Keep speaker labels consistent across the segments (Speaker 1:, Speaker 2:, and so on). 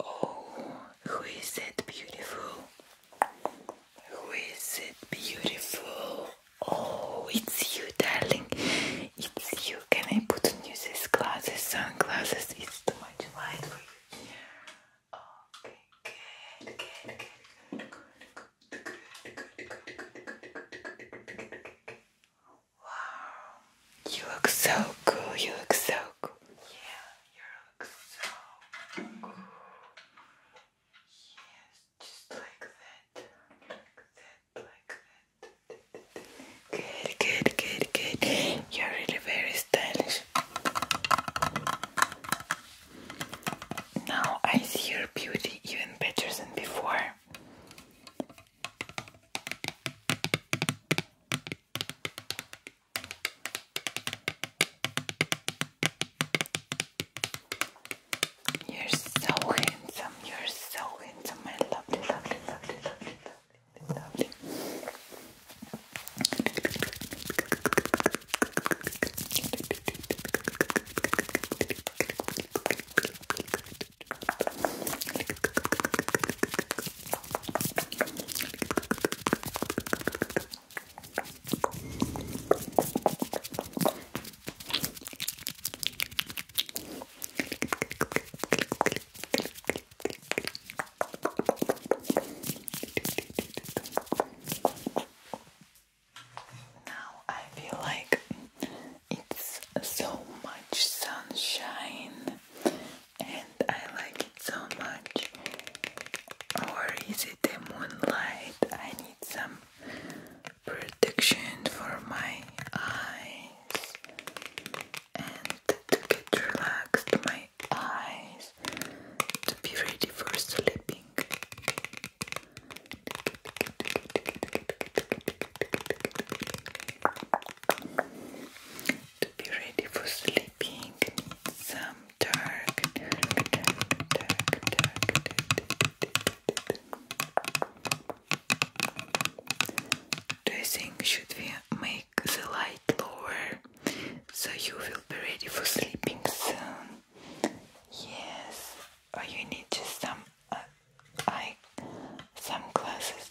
Speaker 1: Oh, who is it beautiful? Who is it beautiful? Oh, it's you, darling. It's you. Can I put on these glasses, sunglasses? It's too much light for you. Okay, good, good, good, good, good, good, good, good, good, good, good. Wow, you look so cool. You look so cool. Yeah. You look so cool. Yes, just like that. Like that, like that. Good, good, good, good. You're really very stylish. Now I see your beauty even better than before. You're so handsome, you're so handsome, my lovely, lovely, lovely, lovely, lovely, lovely.
Speaker 2: Now I feel like it's
Speaker 1: so much sunshine and I like it so much. Or is it the moonlight? I need some protection for my eyes and to get relaxed my eyes to be ready for sleeping to be ready for sleeping some dark Do you think should we make the light lower so you will be ready for sleeping soon? Yes, or you need some uh, eye, some glasses.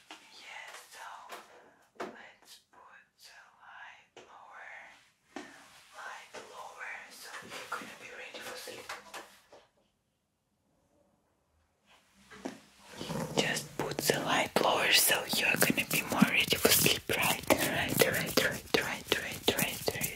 Speaker 1: Yes, so let's put the light lower, light lower, so you're gonna be ready for sleep. Just put the light lower, so you're gonna be more ready for sleep, right? Right, right, right, right, right, right, right, right.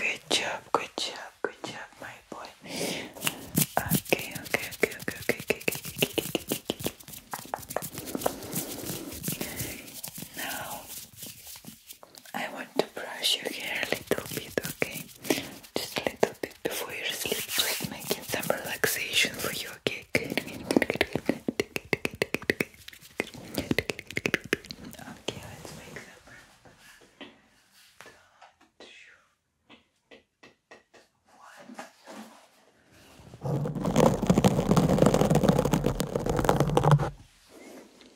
Speaker 1: Good, good job, good job, good job, my boy. Okay, okay, okay, okay, okay, okay, okay, okay, okay. Now I want to brush your hair a little bit, okay? Just a little bit before you sleep, just making some relaxation for you, okay? Good, good, good, good, good, good, good, good, good, good, good. Okay, let's make some one.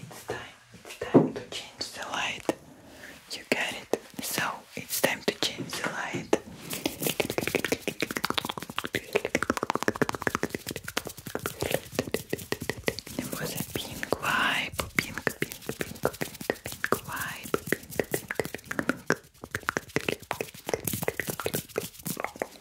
Speaker 1: it's time, it's time to change the light. You get it? So it's time to change the light. It was a pink vibe, pink, pink, pink, pink, pink Pink, pink,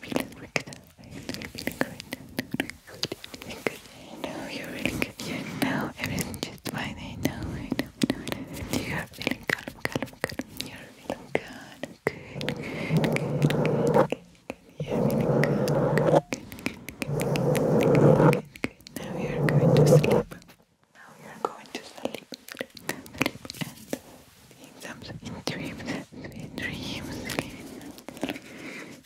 Speaker 1: feeling like that? Are you really feeling good? Good. Good. I know you're really good. Yeah, now everything just fine. I know, I know, You're feeling calm, calm, calm. You're feeling calm. Good, good, good, good, good. you Good, good, good, good, good, good. Now you're going to sleep. Now you're going to sleep exams in dreams, sweet dreams,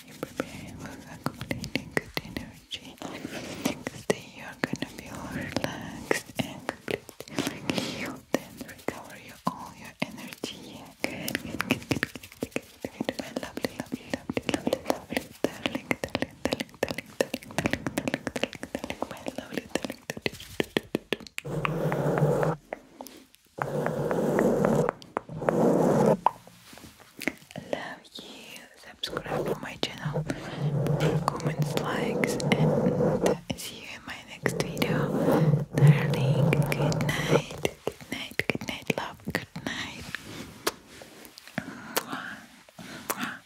Speaker 1: you prepare with accumulating good energy. Next you're gonna feel relaxed and healed and recover all your energy. Good, good, good, good, good, good, good. My lovely, lovely, lovely, darling, darling, darling, darling, darling, darling, darling, darling, my lovely darling. Love you. Subscribe to my channel. Comments, likes, and see you in my next video. Darling, good night. Good night. Good night. Love. Good night.